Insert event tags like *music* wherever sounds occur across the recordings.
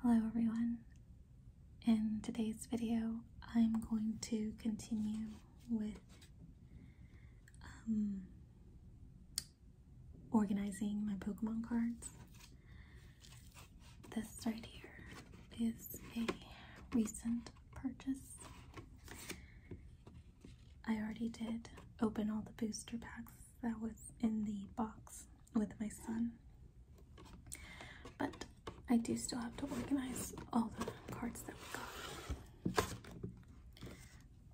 Hello everyone. In today's video, I'm going to continue with um, organizing my Pokemon cards. This right here is a recent purchase. I already did open all the booster packs that was in the box with my son. But I do still have to organize all the cards that we got.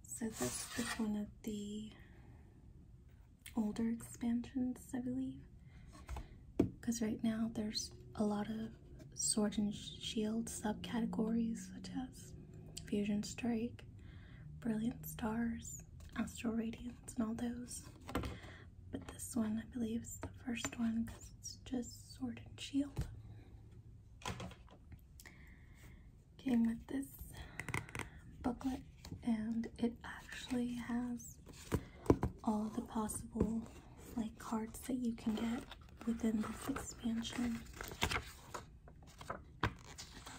So that's just one of the older expansions, I believe. Because right now there's a lot of Sword and Shield subcategories such as Fusion Strike, Brilliant Stars, Astral Radiance, and all those. But this one, I believe, is the first one because it's just Sword and Shield. Came with this booklet, and it actually has all the possible like cards that you can get within this expansion.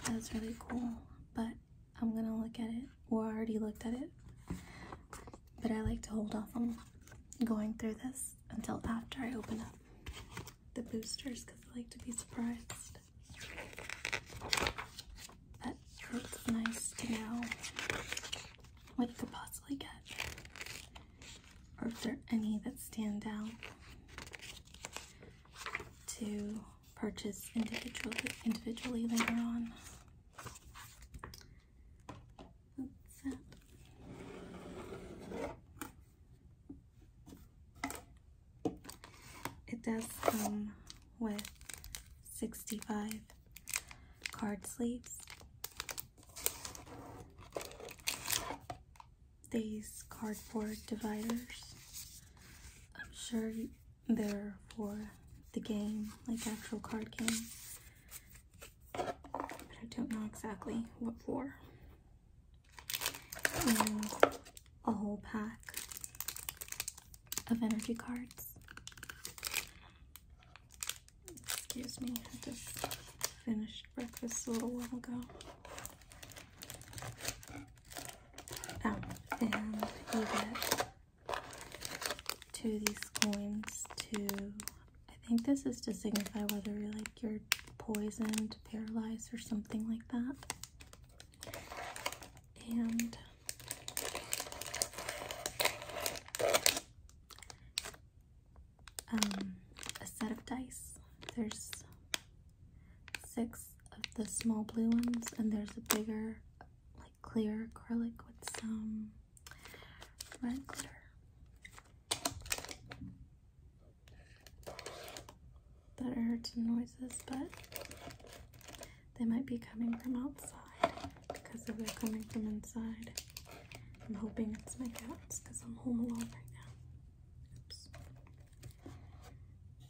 That's really cool, but I'm gonna look at it. Well, I already looked at it, but I like to hold off on going through this until after I open up the boosters because I like to be surprised. it's nice to know what you could possibly get or if there any that stand out to purchase individually, later on. it. It does come with 65 card sleeves. These cardboard dividers. I'm sure you, there for the game, like actual card game. But I don't know exactly what for. And um, a whole pack of energy cards. Excuse me, I just finished breakfast a little while ago. Oh, and you these coins to, I think this is to signify whether you're like you're poisoned, paralyzed, or something like that. And um, a set of dice. There's six of the small blue ones, and there's a bigger like clear acrylic with some red glitter. That I heard some noises, but they might be coming from outside because if they're coming from inside, I'm hoping it's my cats because I'm home alone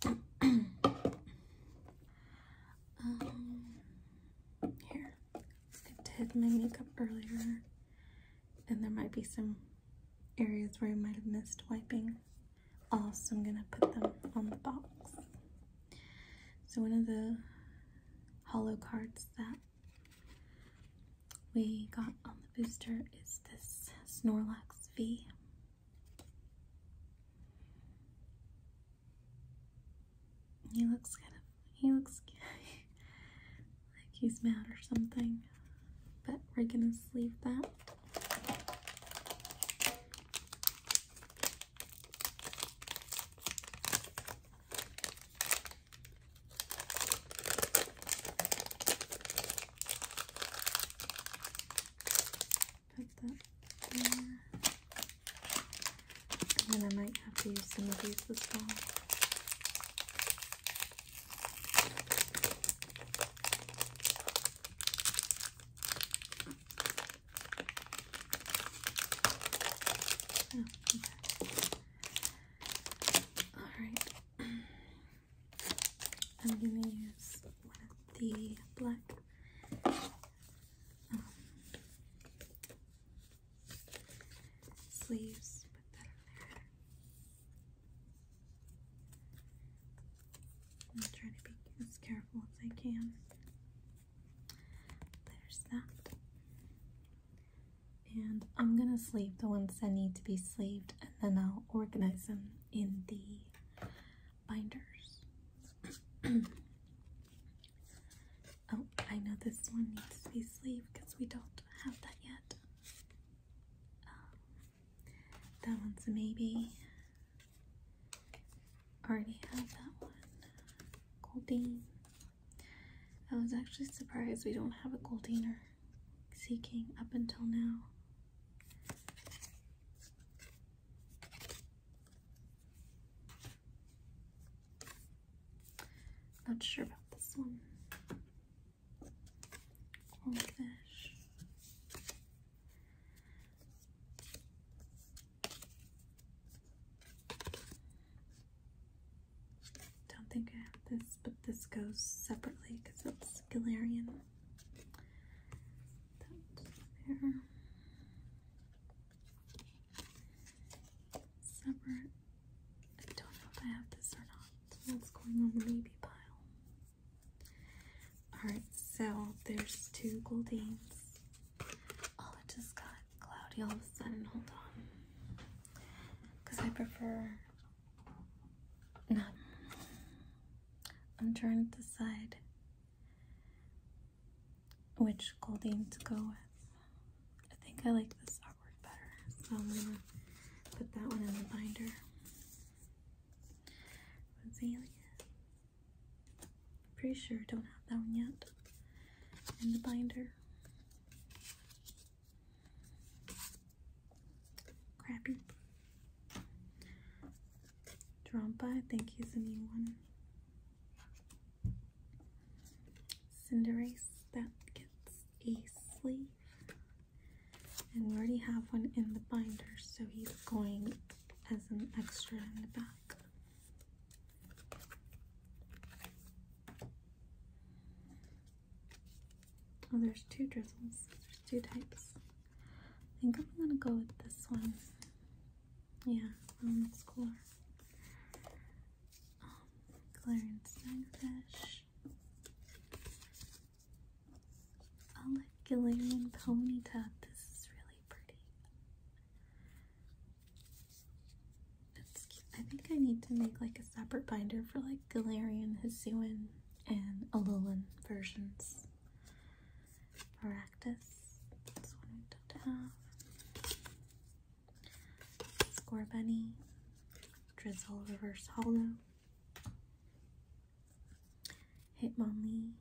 right now. Oops. *clears throat* Um, here, I did my makeup earlier, and there might be some areas where I might have missed wiping Also, I'm gonna put them on the box. So one of the hollow cards that we got on the booster is this Snorlax V. He looks kind of, he looks *laughs* like he's mad or something, but we're gonna sleeve that put that there. And then I might have to use some of these as well. Oh, Alright. *clears throat* I'm going to use the black sleeves, I'll try to be as careful as I can. There's that. And I'm gonna sleeve the ones that need to be sleeved and then I'll organize them in the binders. *clears throat* oh, I know this one needs to be sleeved because we don't have that yet. Um, that one's a maybe. Already have that one. Goldine. I was actually surprised we don't have a Goldiner seeking up until now. Not sure about this one. Goldfish. Don't think I have this, but this goes separately because it's Galarian. Separate. I don't know if I have this or not. What's going on the baby pile? Alright, so there's two Goldines. Oh, I just got cloudy all of a sudden. Hold on. Because I prefer not. I'm trying to decide which golding to go with. I think I like this artwork better, so I'm gonna put that one in the binder. Rosalia. Pretty sure don't have that one yet in the binder. Crappy. Trompa, I think he's a new one. Cinderace, that gets a sleeve. And we already have one in the binder, so he's going as an extra in the back. Oh, there's two drizzles. There's two types. I think I'm gonna go with this one. Yeah, that's cool. Um, Clarence Steinfish. Alec Gillian Ponyta. This is really pretty. It's cute. I think I need to make like a separate binder for like Galarian, Hisuian, and Alolan versions. Maractus. This one we don't have. Score Bunny. Drizzle Reverse Hollow. Hitmonlee.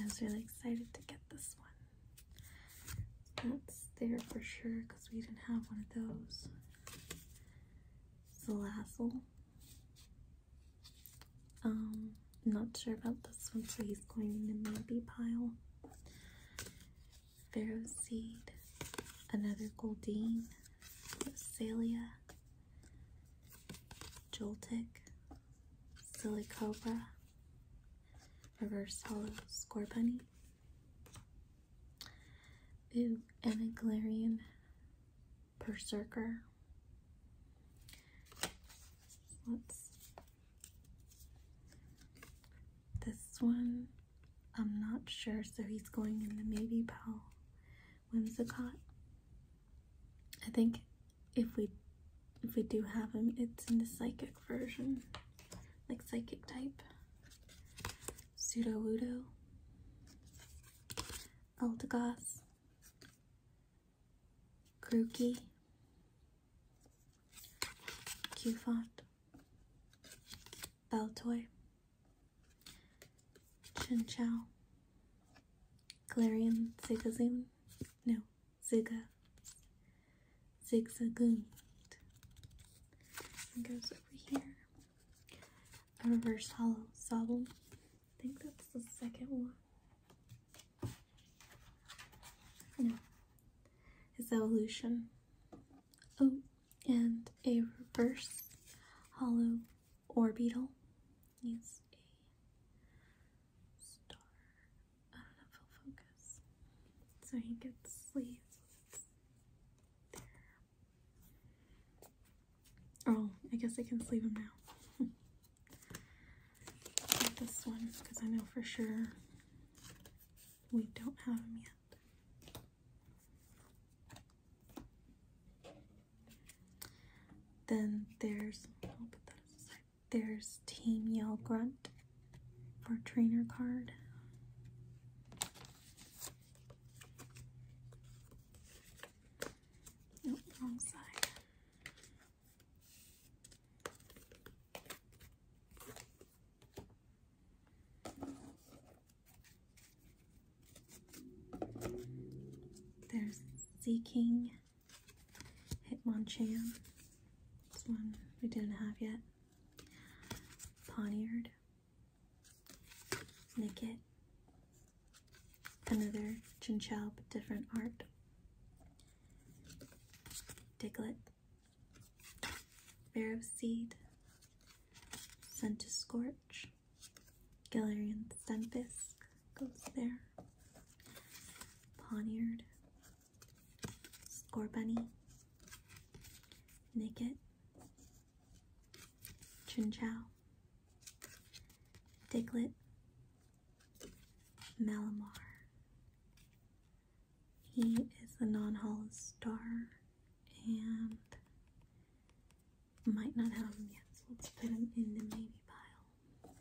I was really excited to get this one. That's there for sure because we didn't have one of those. Salazzle. Um, not sure about this one, so he's going in the maybe pile. Pharaoh Seed, another Goldeen, Salia, Joltic, Silicobra, Reverse Hollow Score Bunny, Ooh, and a Galarian Berserker, this one? I'm not sure, so he's going in the maybe When's the Whimsicott. I think if we if we do have him, it's in the psychic version, like psychic type. Pseudo Ludo, Eldegoss, Grookey, Qfont, Beltoy, Chinchow, Galarian Zigazoon, no, Ziga, Zigzagoon. And goes over here. A reverse hollow sobble. I think that's the second one you know, evolution. Oh, and a reverse hollow orbital is a star. I don't know focus. So he gets sleeves. Oh, I guess I can sleeve him now. *laughs* this one because I know for sure we don't have them yet. Then there's There's Team Yell Grunt for trainer card. There's Z King, Hitmonchan, this one we didn't have yet, Poniard, Nicket, another Chinchou but different art, Diglet, bear of Seed, Sun to Scorch, Galarian Stunfisk goes there, Poniard, score Scorbunny, Nicket, Chinchow, Diglet. Malamar. He is a non hollow star and might not have him yet, so let's put him in the maybe pile.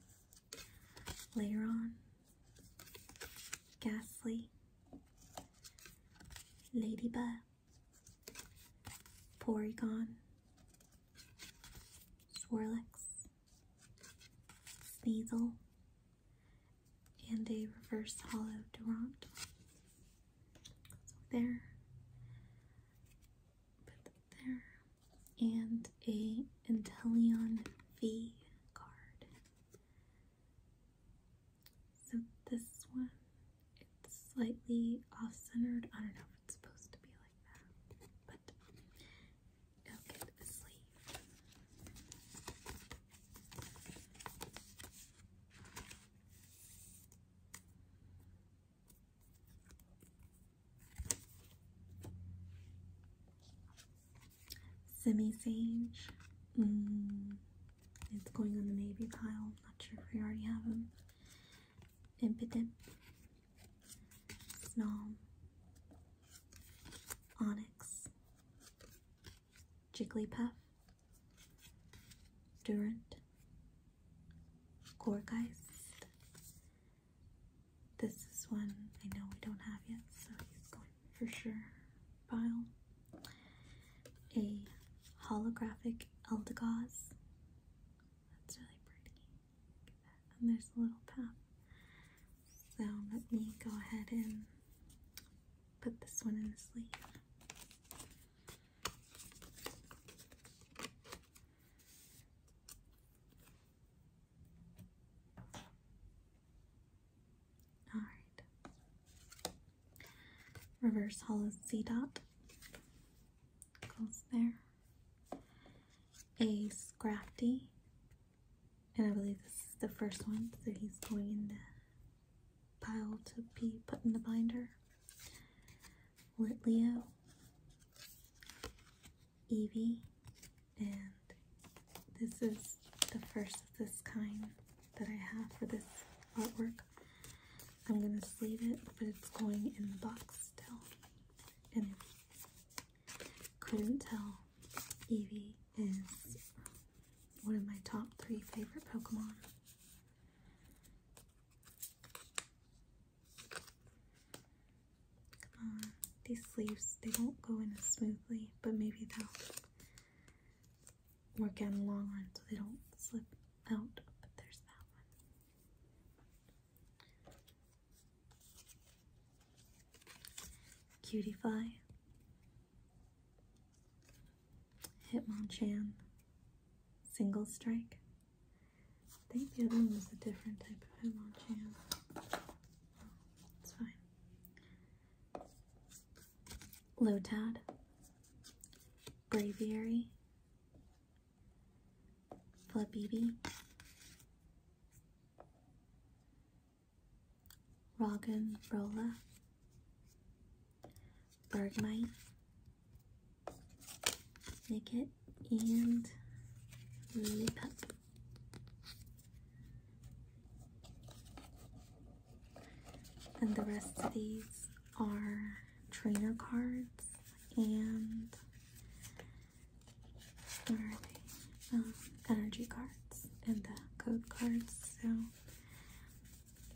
Later on, Ghastly, Ladybug, Porygon, Swirlix, Sneasel, and a reverse hollow Durant. there, put that there, and a Inteleon V card. So this one, it's slightly off-centered. I don't know if it's supposed to be like that, but Semi Sage. Mm, it's going on the maybe pile. Not sure if we already have them. Impidimp. Snom, Onyx, Jigglypuff, Durant, Gorgeist. This is one I know we don't have yet, so he's going for sure. Pile. A holographic Eldegoss. That's really pretty. And there's a little path. So let me go ahead and put this one in the sleeve. All right. Reverse hollow C dot goes there. Ace Crafty. And I believe this is the first one, that he's going in the pile to be put in the binder. Lit Leo, Evie, and this is the first of this kind that I have for this artwork. I'm going to sleeve it, but it's going in the box still. And couldn't tell, Eevee is one of my top three favorite Pokemon. Come on, these sleeves, they don't go in as smoothly, but maybe they'll work out in the long run so they don't slip out. But there's that one. Cutify, Hitmonchan, Single Strike. I think the other one was a different type of Hitmonchan. Oh, it's fine. Lotad, Braviary, Flabby, Rogan Rolla, Bergmite, Naked, and Lipup. And the rest of these are trainer cards and um, energy cards and the code cards. So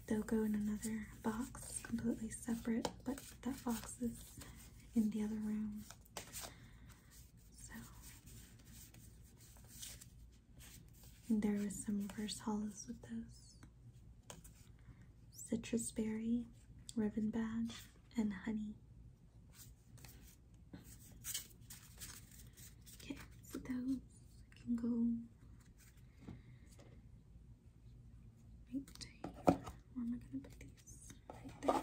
they'll go in another box, completely separate, but that box is in the other room. So there was some reverse hollows with those. Citrus berry, ribbon badge, and honey. Okay, so those can go Where am I gonna put these? Right there.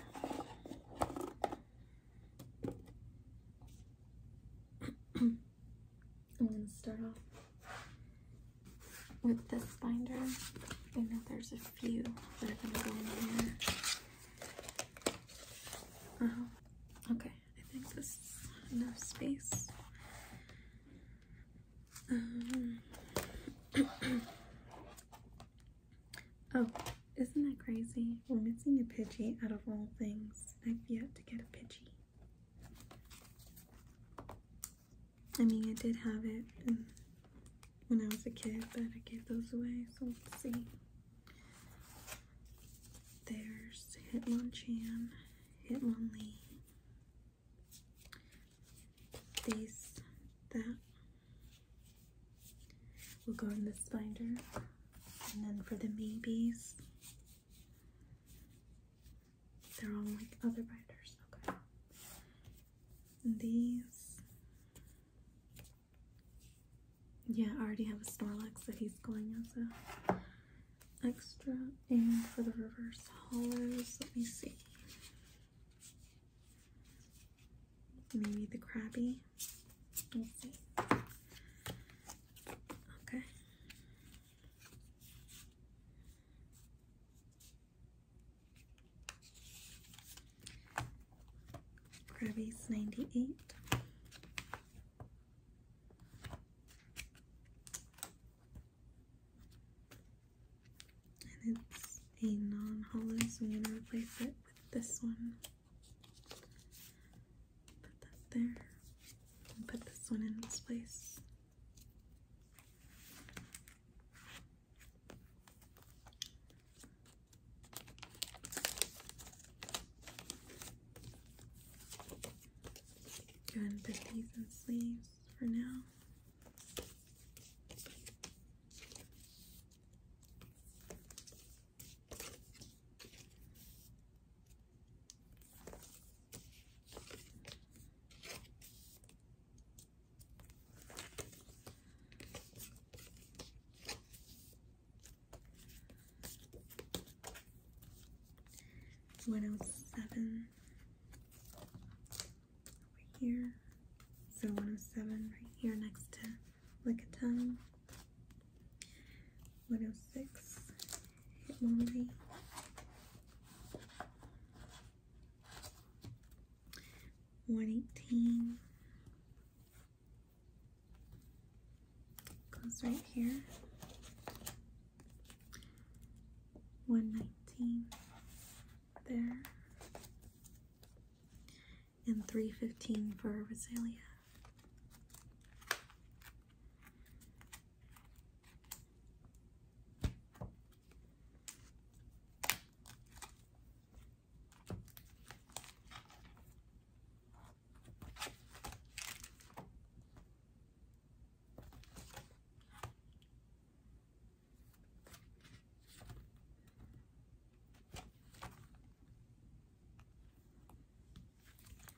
*clears throat* I'm gonna start off with this binder. I know there's a few that am gonna go in here. Uh Okay, I think this is enough space. Um, *clears throat* oh, isn't that crazy? We're missing a Pidgey out of all things. I've yet to get a Pidgey. I mean, I did have it when I was a kid, but I gave those away, so let's see. There's Hitmonchan, Hitmonlee, these, that. We'll go in this binder. And then for the maybes, they're all like other binders. Okay. And these. Yeah, I already have a Snorlax that he's going as a extra. And for the reverse hollows, let me see. Maybe the Krabby. Okay. Gravi's 98. And it's a non-hollow, so I'm going to replace it with this one. Put that there. And put this one in its place. Go ahead and put these in sleeves for now. 107 over here. So 107 right here next to Lickitung. 106 hit 118 Goes right here. 119 there. And 315 for Rosalia.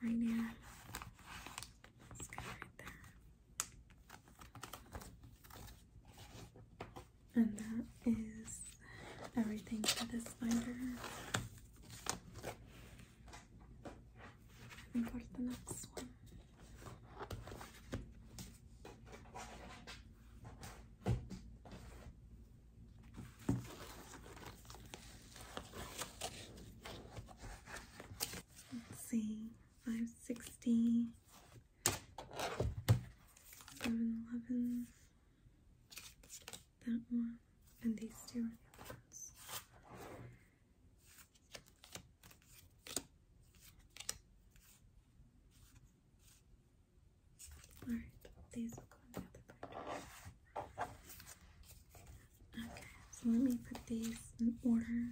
Right now, let's go right there. And that is everything for this binder. And the next one. Let's see, 560, that one, and these two are the other ones. Alright, these will go in the other part. Okay, so let me put these in order.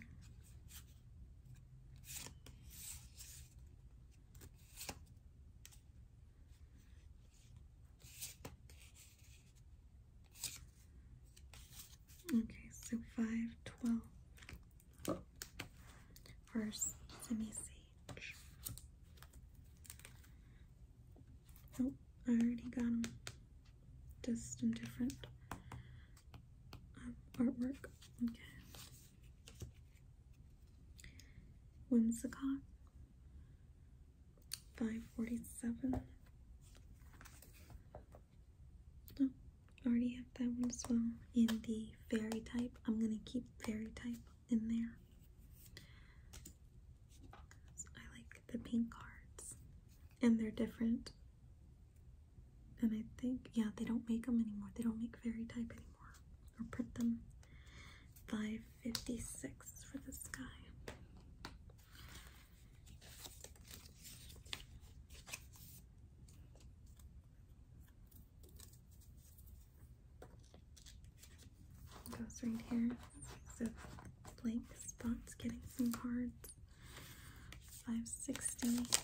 Okay, so five, twelve let me see. Oh, I already got them. Just in different um, artwork. Okay. Whimsicott, 547. Oh, I already have that one as well in the fairy type. I'm going to keep fairy type in there. I like the pink cards. And they're different. And I think, yeah, they don't make them anymore. They don't make fairy type anymore or put them. 556 for the sky. goes right here. So blank spots getting some cards. 560.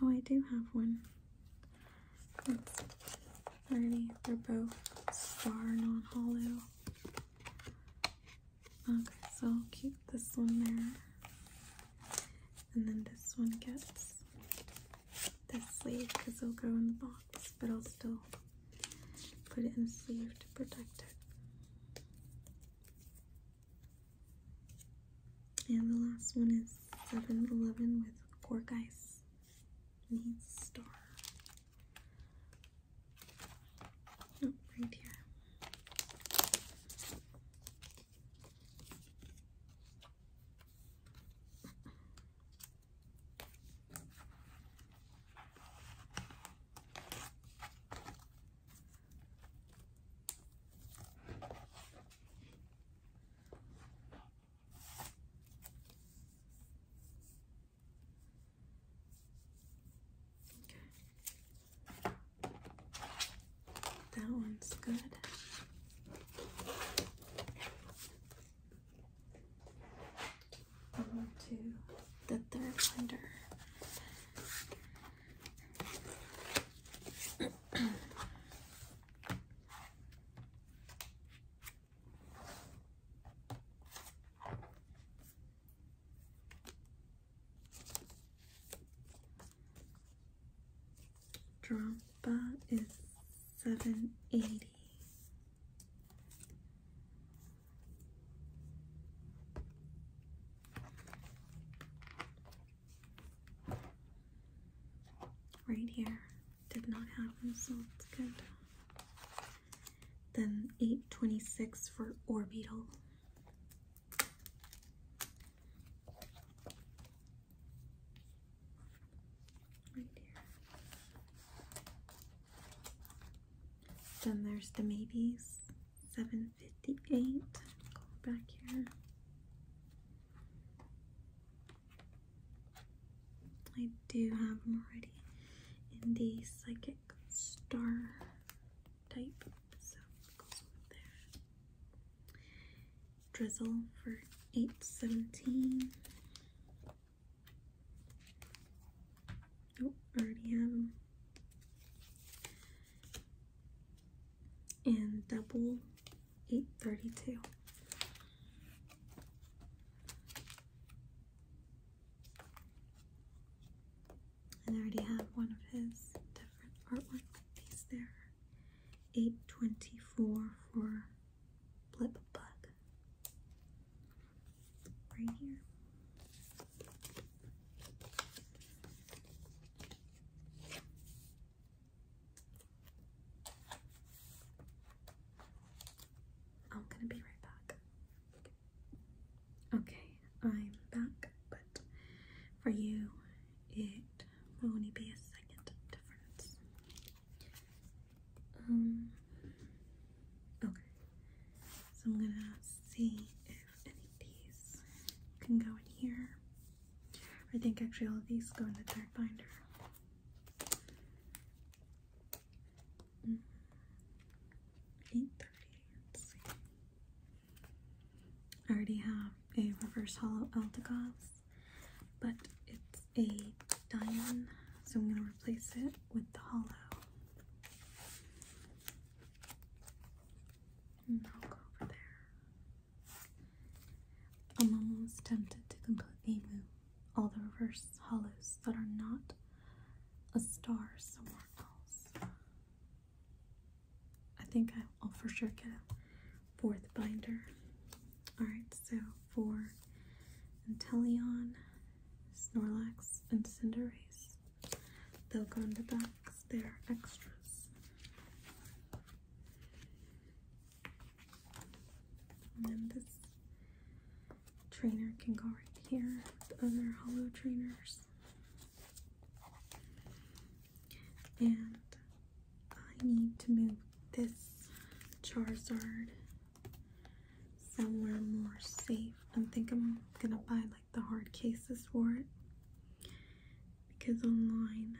Oh, I do have one. That's pretty. They're both star non hollow. Okay, so I'll keep this one there. And then this one gets this sleeve because it'll go in the box, but I'll still put it in a sleeve to protect it. And the last one is 7 Eleven with Cork Ice Needs Star. Oh, right here. Okay. That one's good. On to the third blender. Drompa is seven eighty. Right here. Did not happen, so it's good. Then 826 for orbital. Right here. Then there's the maybes. Seven 58. Go back here. I do have them already in the psychic star type, so goes over there. Drizzle for 817. Oh, already have them. In double 832. I already have one of his different artwork piece there. 824 for Blip Bug. Right here. I'm gonna be right back. Okay, I'm back, but for you, it will only be a second difference. Um, okay, so I'm gonna see if any of these can go in here. I think actually all of these go in the third binder. Mm-hmm. 830, I already have a reverse hollow Eldegoss, but it's a diamond, so I'm going to replace it with the hollow. And I'll go over there. I'm almost tempted to completely move all the reverse hollows that are not a star somewhere else. I think I'll for sure get a fourth binder. Alright, so for Inteleon, Snorlax, and Cinderace, they'll go in the box they're extras. And this trainer can go right here with other hollow trainers. And I need to move this Charizard somewhere more safe. I think I'm gonna buy like the hard cases for it because online,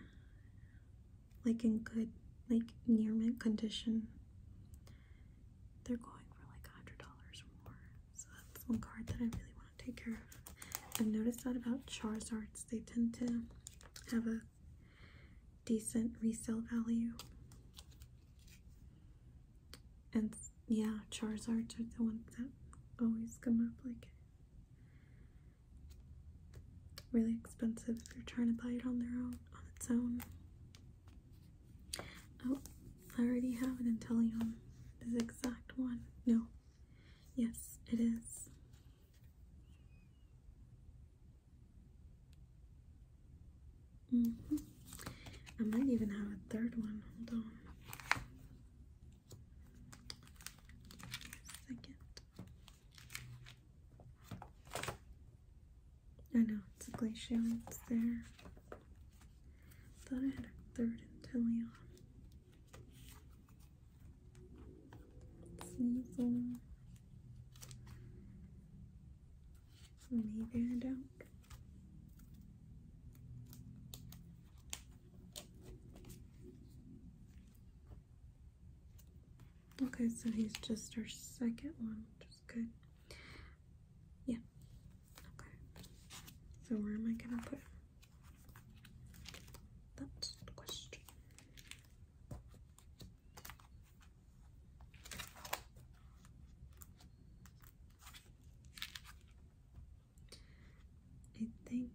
like in good, like near mint condition, they're going for like $100 or more. So that's one card that I really want to take care of. I've noticed that about Charizards, they tend to have a decent resale value. And yeah, Charizards are the ones that always come up like really expensive if you're trying to buy it on their own on its own. Oh, I already have an Intellion. This exact one. No. Yes, it is. Mm -hmm. I might even have a third one. Hold on. Second. I know, it's a glacier. it's there. Thought I had a third intellion. Sneasel. Maybe I don't. Okay, so he's just our second one, which is good. Yeah. Okay. So where am I gonna put him? That's the question. I think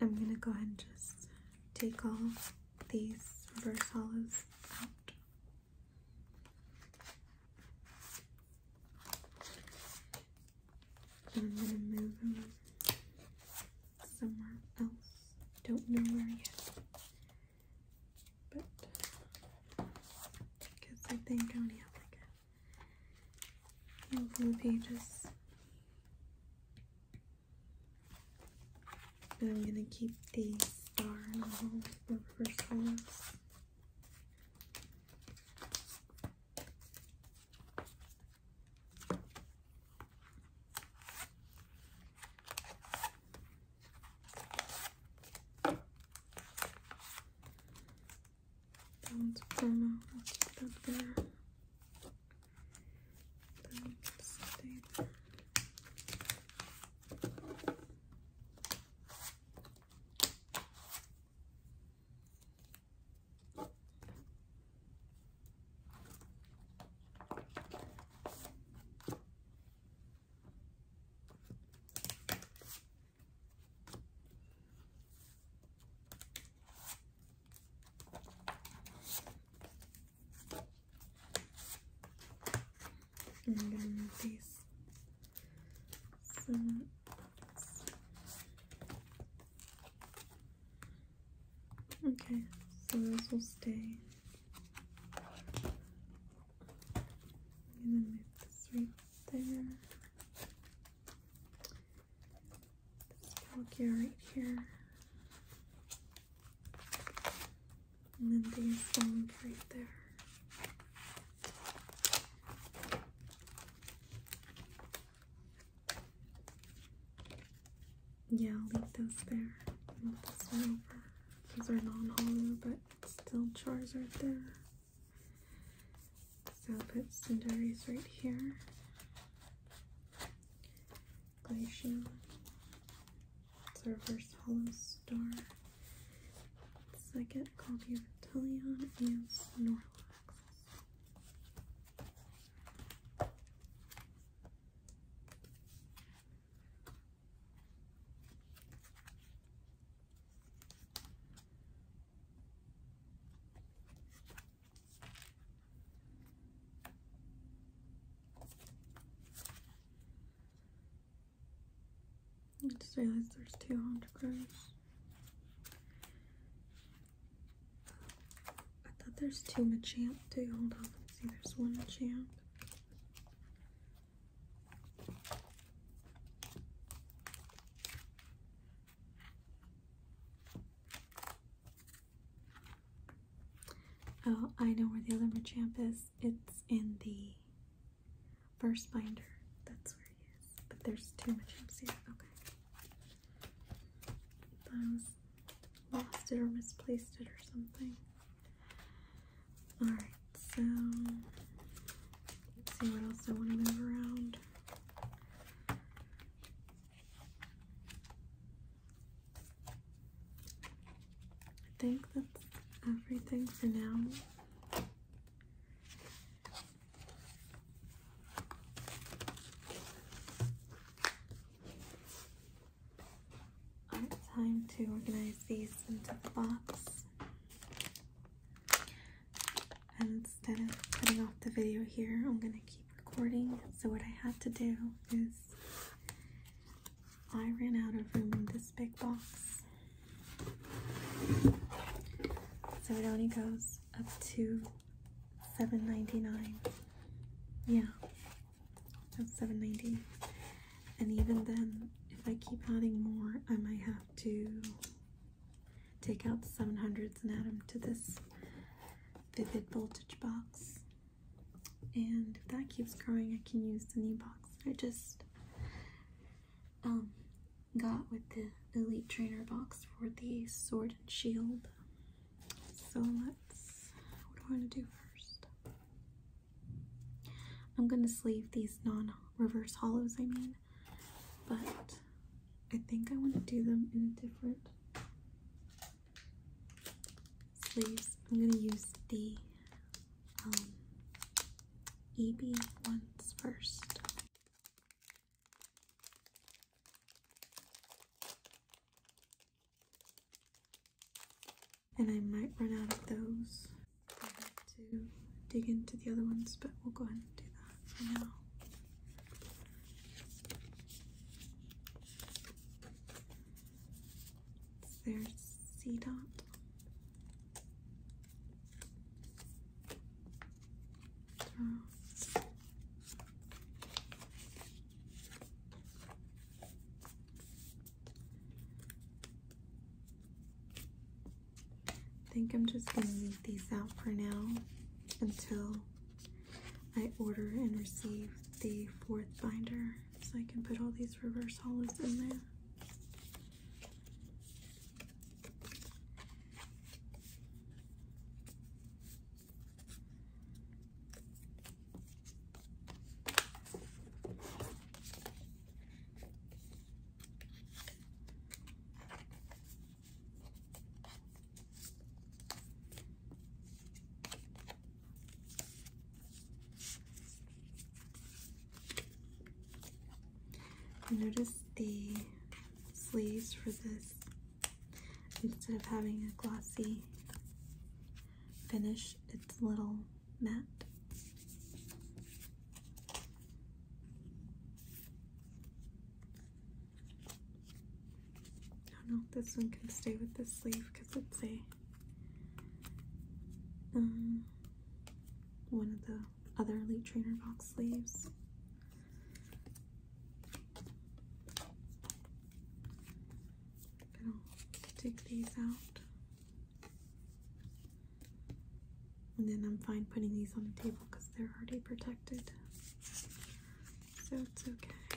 I'm gonna go ahead and just take all these reverse hollows out. And I'm gonna move them somewhere else. Don't know where yet. But because I think only have like a handful pages now I'm gonna keep the star in the middle first iris. That one's promo. Let's put there. That one stay there. Okay, so those will stay. And then move this right there. Pinocchio right here. And then these things right there. Yeah, I'll leave those there. Move this one over. These are non-hollow, but still chars right there. So I'll put Cinderace right here. Glacial. It's reverse hollow star. Second copy of Italian and Snorlax. I just realized there's two Honda Crows. I thought there's two champ too. Hold on, let's see. There's one champ. Oh, I know where the other matchamp is. It's in the first binder. That's where he is. But there's too much here. Okay. I was lost it or misplaced it or something. Alright, so let's see what else I want to move around. I think that's everything for now. Alright, time to organize these into the box instead of cutting off the video here, I'm going to keep recording. So what I have to do is I ran out of room in this big box. So it only goes up to seven ninety nine. Yeah, that's seven ninety. And even then, if I keep adding more, I might have to take out the 700s and add them to this vivid voltage box and if that keeps growing I can use the new box I just um, got with the elite trainer box for the sword and shield so let's what do I want to do first I'm gonna sleeve these non reverse hollows I mean but I think I want to do them in a different sleeves. I'm going to use the um, EB ones first. And I might run out of those. I have to dig into the other ones, but we'll go ahead and do that for now. There's C dot. I think I'm just going to leave these out for now until I order and receive the fourth binder so I can put all these reverse hollows in there. Notice the sleeves for this, instead of having a glossy finish, it's a little matte. I don't know if this one can stay with this sleeve because it's a um, one of the other Elite Trainer box sleeves. I'm take these out. And then I'm fine putting these on the table because they're already protected so it's okay. Oh,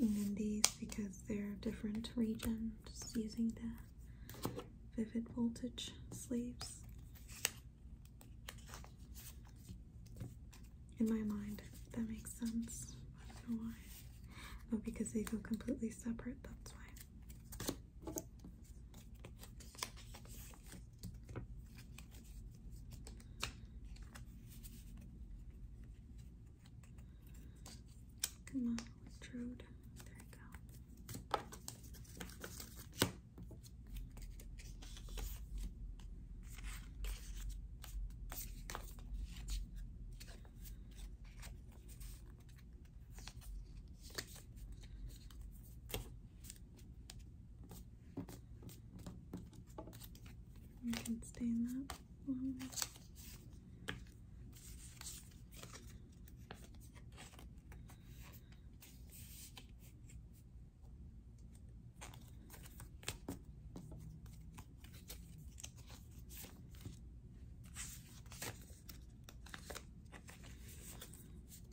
and these, because they're different regions, using the vivid voltage sleeves. In my mind, that makes sense. I don't know why. Oh, because they go completely separate, that's why. Come on, Trude. There you go. You can stain that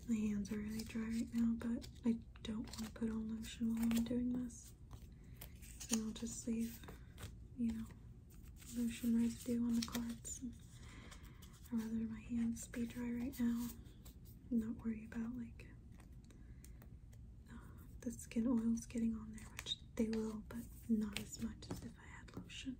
my hands are really dry right now, but I don't want to put on lotion while I'm doing this. And I'll just leave, you know, lotion residue on the cards. I'd rather my hands be dry right now and not worry about like uh, the skin oils getting on there, which they will, but not as much as if I had lotion.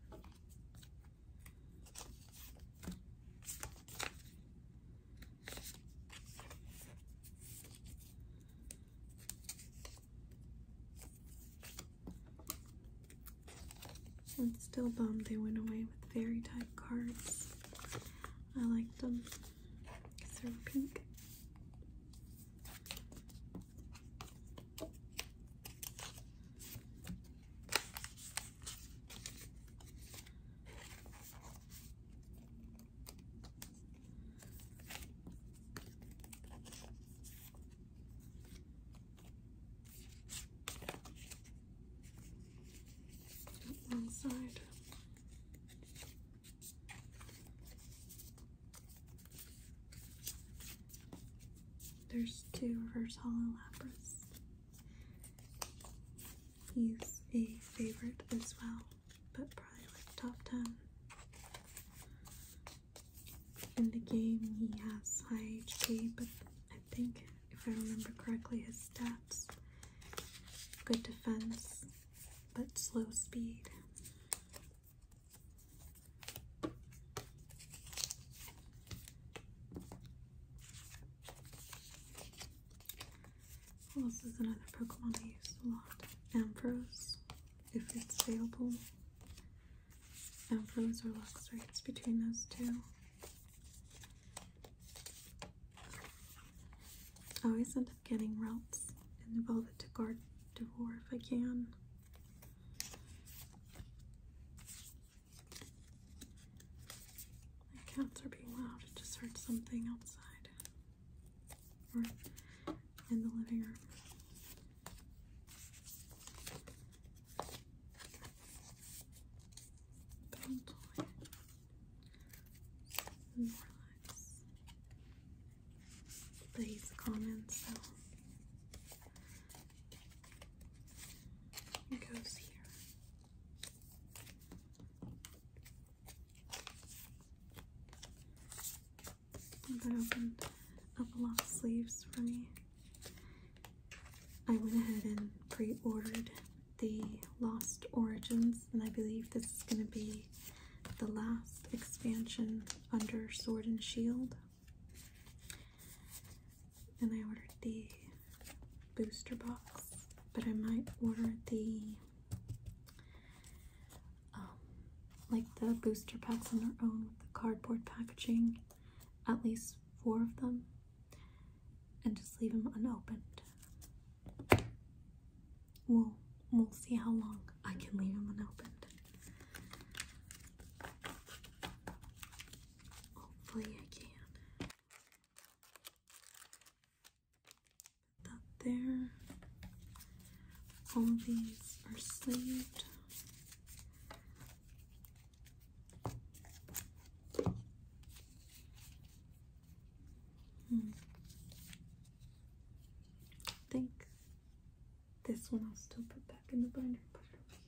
I'm still bummed they went away with very tight cards. I liked them they are pink. One side. There's two reverse hollow Lapras. He's a favorite as well, but probably like top 10. In the game, he has high HP, but I think, if I remember correctly, his stats good defense, but slow speed this is another Pokemon I use a lot. Ambrose, if it's available. Ambrose or Luxray, it's between those two. I always end up getting Ralts and Velvet to guard Devore if I can. My cats are being loud. I just heard something outside or in the living room. Bountiful. More lives. But he's common, so it goes here. That opened up a lot of sleeves for me. I went ahead and pre-ordered the Lost Origins, and I believe this is going to be the last expansion under Sword and Shield. Then I ordered the booster box, but I might order the um, like the booster packs on their own with the cardboard packaging, at least four of them, and just leave them unopened. We'll we'll see how long I can leave them unopened. Hopefully I can. Put there. All these are sleeved. Hmm. I this one I'll still put back in the binder put it over here.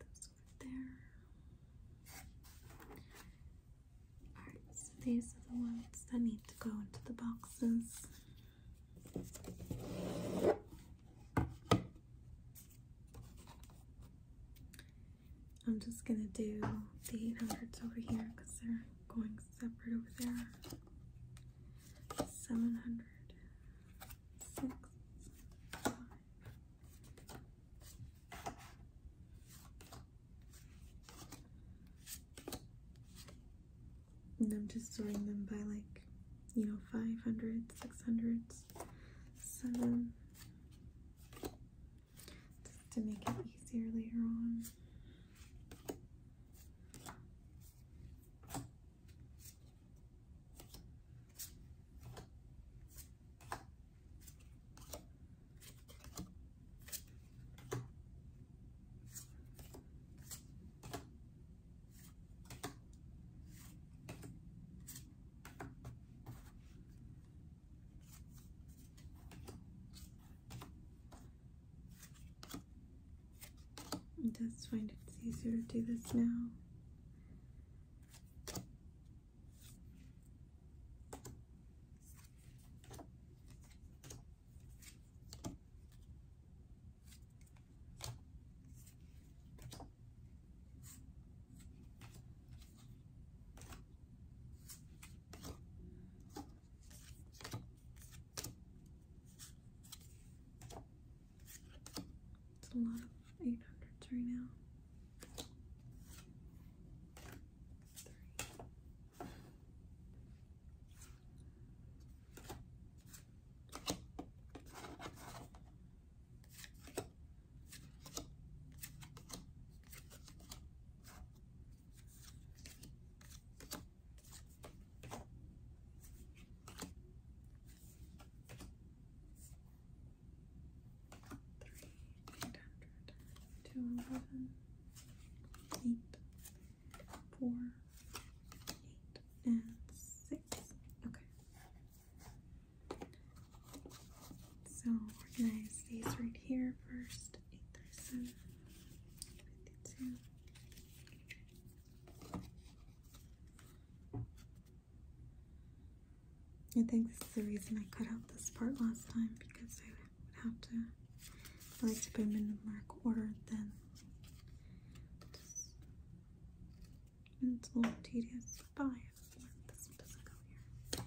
Those over there. Alright, so these are the ones that need to go into the boxes. I'm just gonna do the 800s over here because they're going separate over there. Seven hundred, 5. And I'm just sorting them by like, you know, 500, 600, 7, to make it easier later on. I just find it easier to do this now. It's a lot of 800s right now. Two, eleven, eight, four, eight, and six. Okay. So organize these right here first. I think this is the reason I cut out this part last time because I would have to like put them in the mark order then just, it's a little tedious. Bye. This one doesn't go here. there.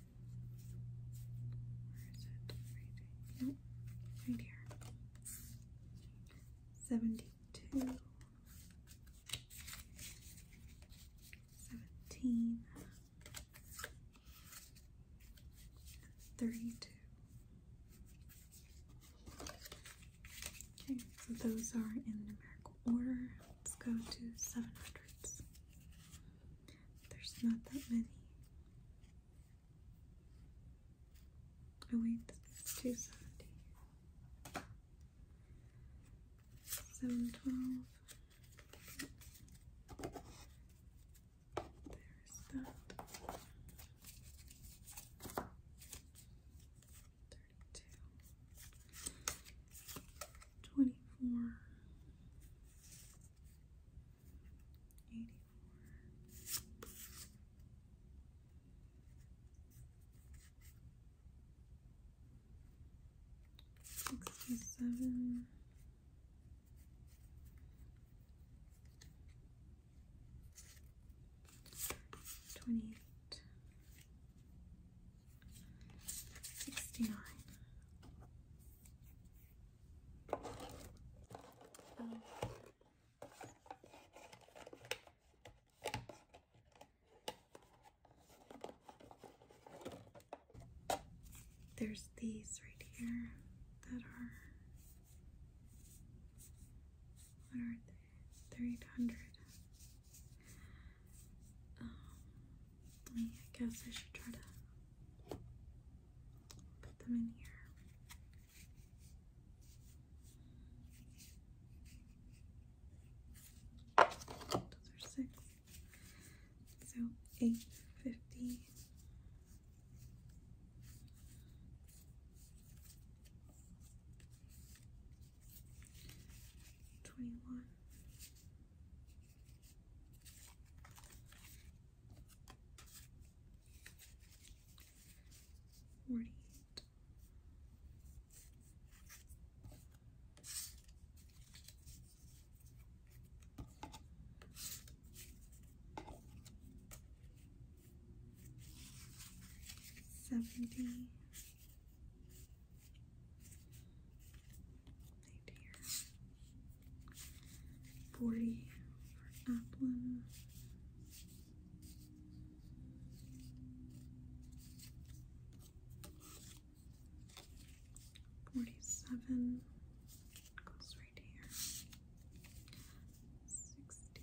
Right, here. 72, Okay, so those are in numerical order. Let's go to 700s. There's not that many. Oh wait, this 270. 712. There's that. 32. Twenty four. Sixty seven. Twenty eight. 69. there's these right here that are what are they? 300 um, I guess I should try to put them in here. Those are six. So eight fifty. Forty eight. Seventy Forty for Applin. Forty-seven goes right here. Sixty.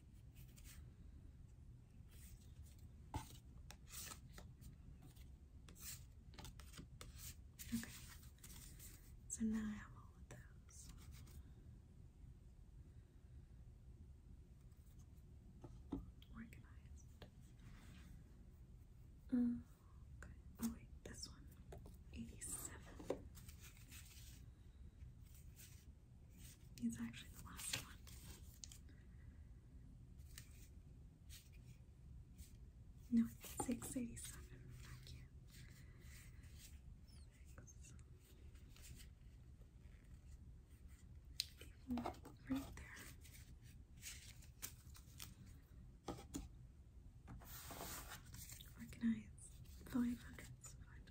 Okay, so now I have all of those. Organized. Oh, okay. Oh wait, this one. He's actually the last one. No, 687. Thank you. Right there. Organize five hundreds, five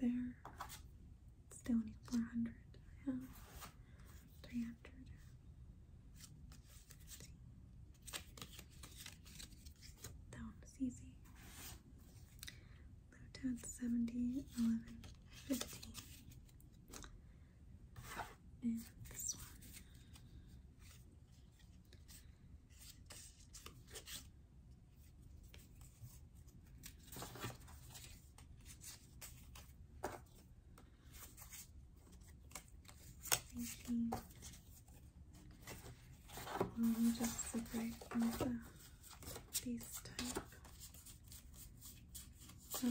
there. It's down to 400. I have 300. That one was easy. Blue Tad And this one just separate the these type. Okay,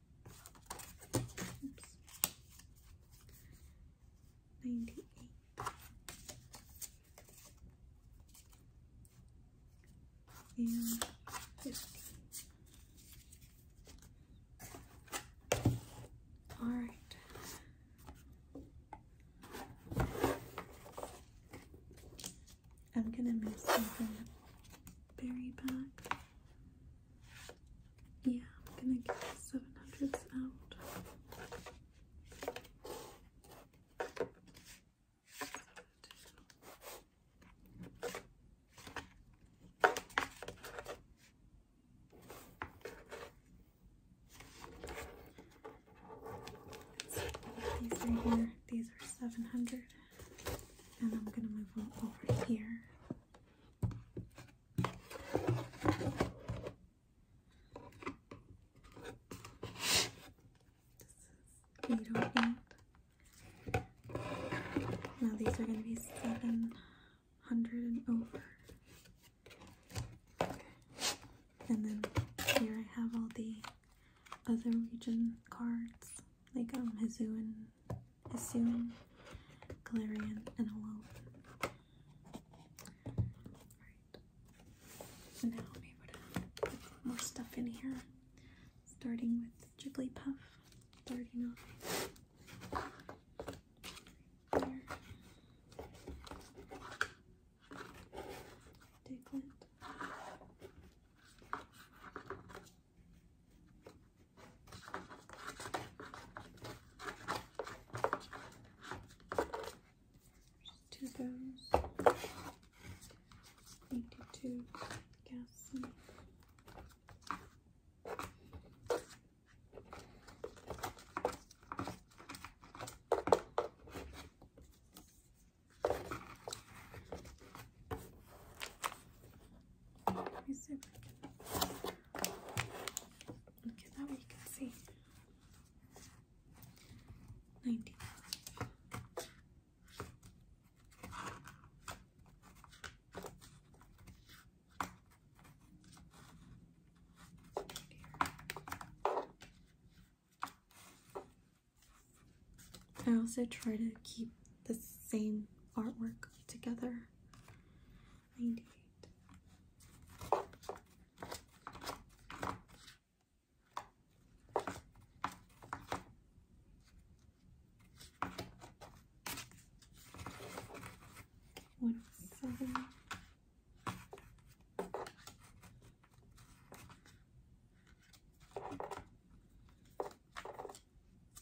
98. And 50. All right. I'm going to move something berry back yeah, I'm gonna get the seven hundreds out. These are here. These are seven hundred, and I'm gonna move them over here. Now these are going to be 700 and over. And then here I have all the other region cards, like um, Mizzou and Assuming Galarian, and Hello. Alright. Now I'm able to put more stuff in here. Starting with Jigglypuff. Starting off there. Diglett. Two goes. Eighty-two gassy. I also try to keep the same artwork together 98.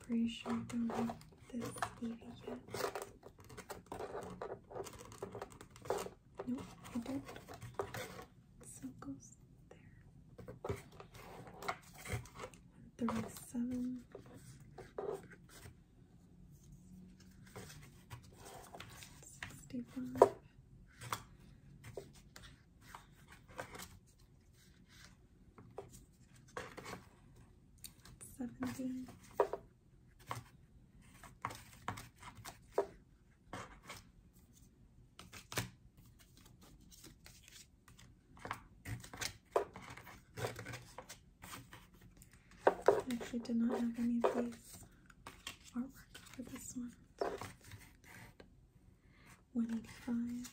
Pretty sure I don't have this baby yet. No, I don't. So goes there. 137. 70. actually did not have any of these artwork for this one. 185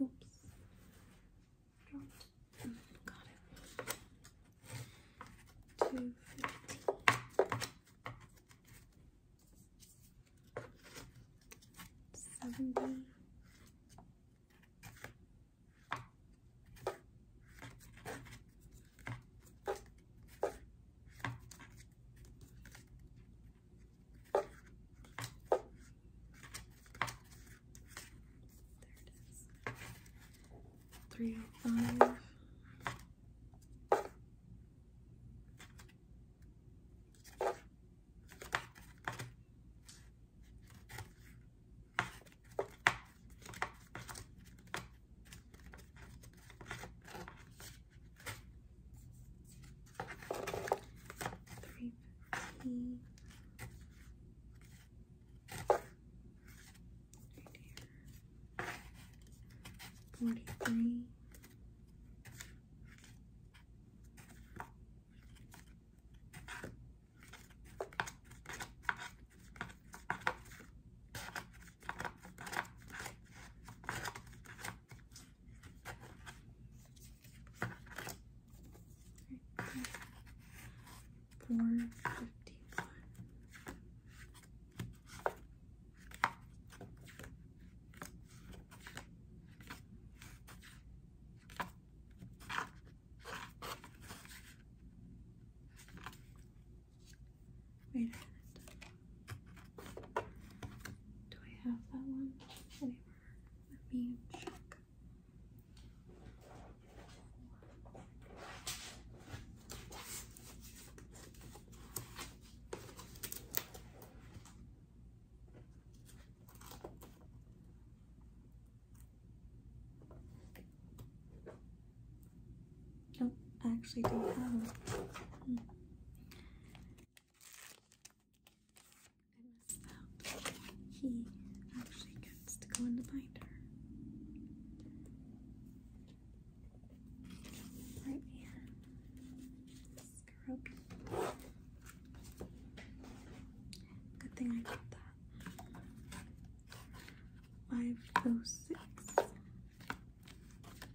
Oops. Dropped. Mm, got Two fifty. Seventy. There it is. Three oh five. Three fifty. Right Forty-three. Four fifty one. Wait do I have that one anywhere? Let me check. Nope, I actually do have. Hmm. He actually gets to go in the binder. Right here. Good thing I got that. Five oh six.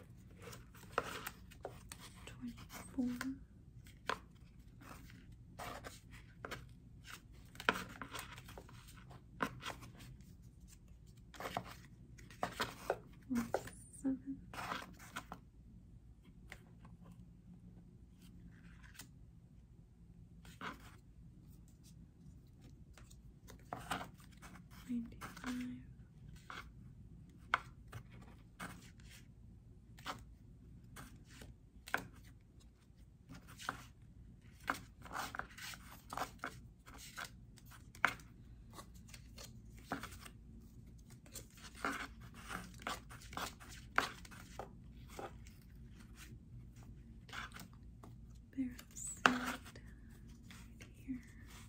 24 seven ninety five Barrel set right here.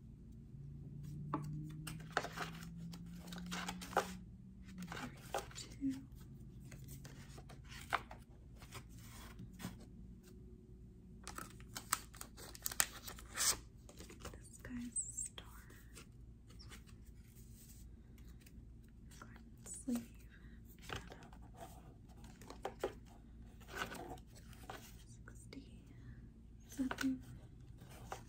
Two. This guy's star. sleeve. Sixty.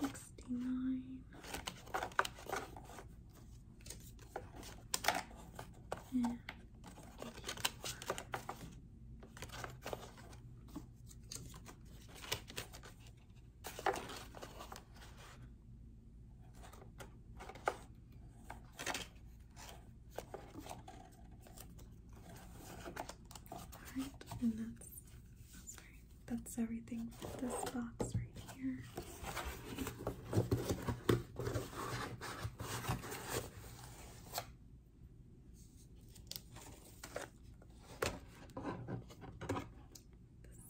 69 and 84. Alright, and that's Sorry, that's everything for this box right here.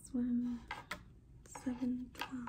This one, seven twelve.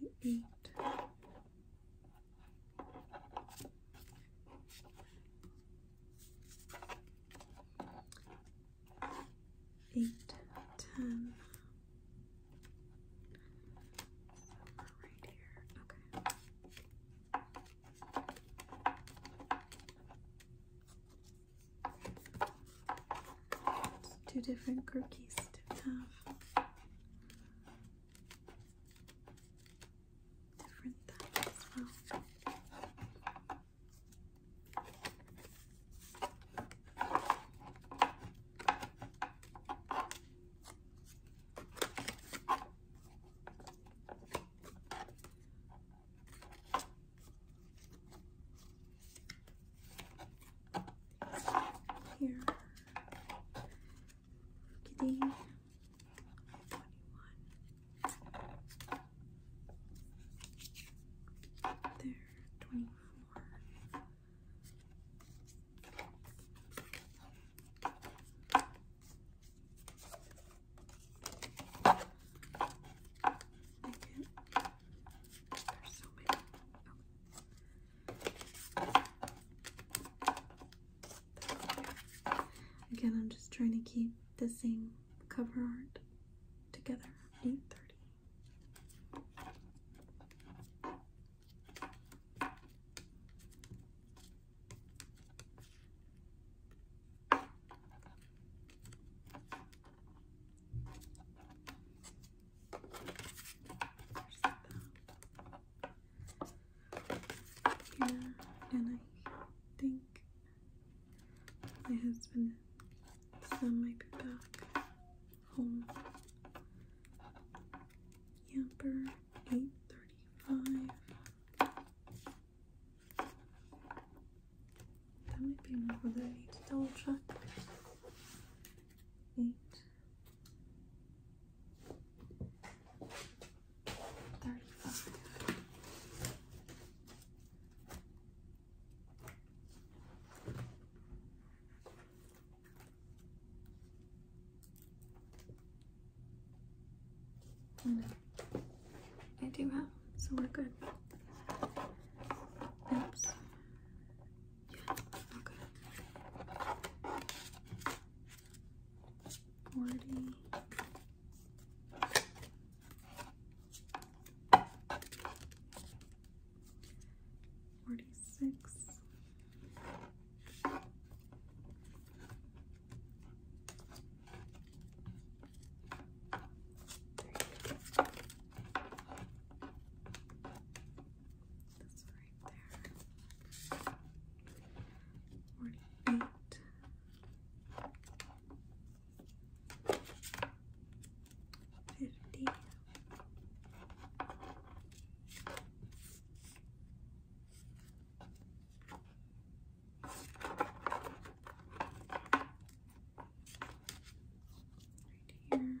Fifty-eight. Eight, ten. Right here. Okay. Two different cookies to have different that as well. Here, kitty. There, twenty-four. Again. I'm just trying to keep the same cover art together. 8:30. Here, and I think my husband might be back home. Yamper, 835. That might be enough that I double check. Eight. Thirty-five. I do have, so we're good. Oops. Yeah, okay. 40. Forty-six, there That's right there. 48. Right here. Two.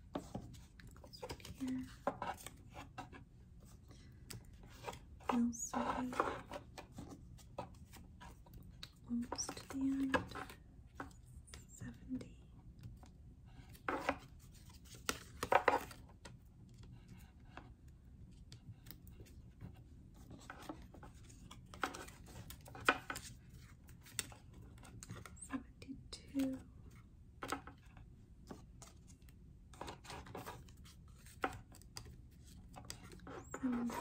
This right here. Feels Almost to the end. 70. And five.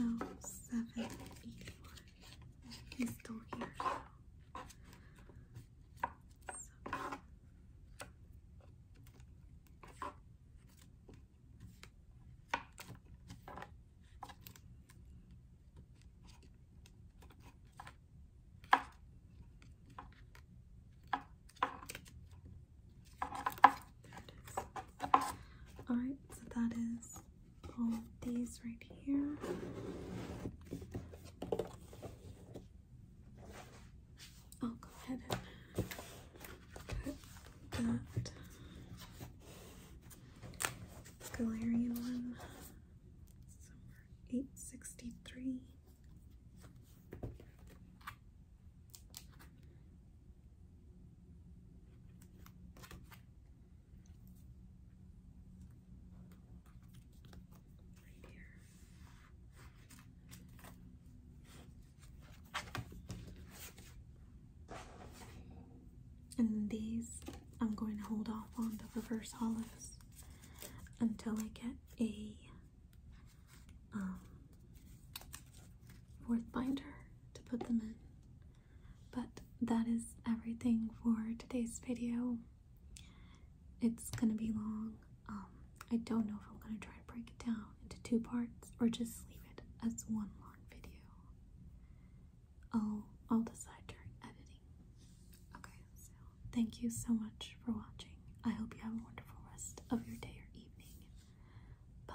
Oh, seven, eight, one he's still here. So. There it is. Alright, so that is all of these right here. I'll go ahead and cut that Galarian one 863. And these I'm going to hold off on the reverse hollows until I get a um, fourth binder to put them in. But that is everything for today's video. It's gonna be long. Um, I don't know if I'm gonna try to break it down into two parts or just leave it as one long video. I'll I'll decide during editing. Okay, so thank you so much for watching. I hope you have a wonderful rest of your day or evening. Bye.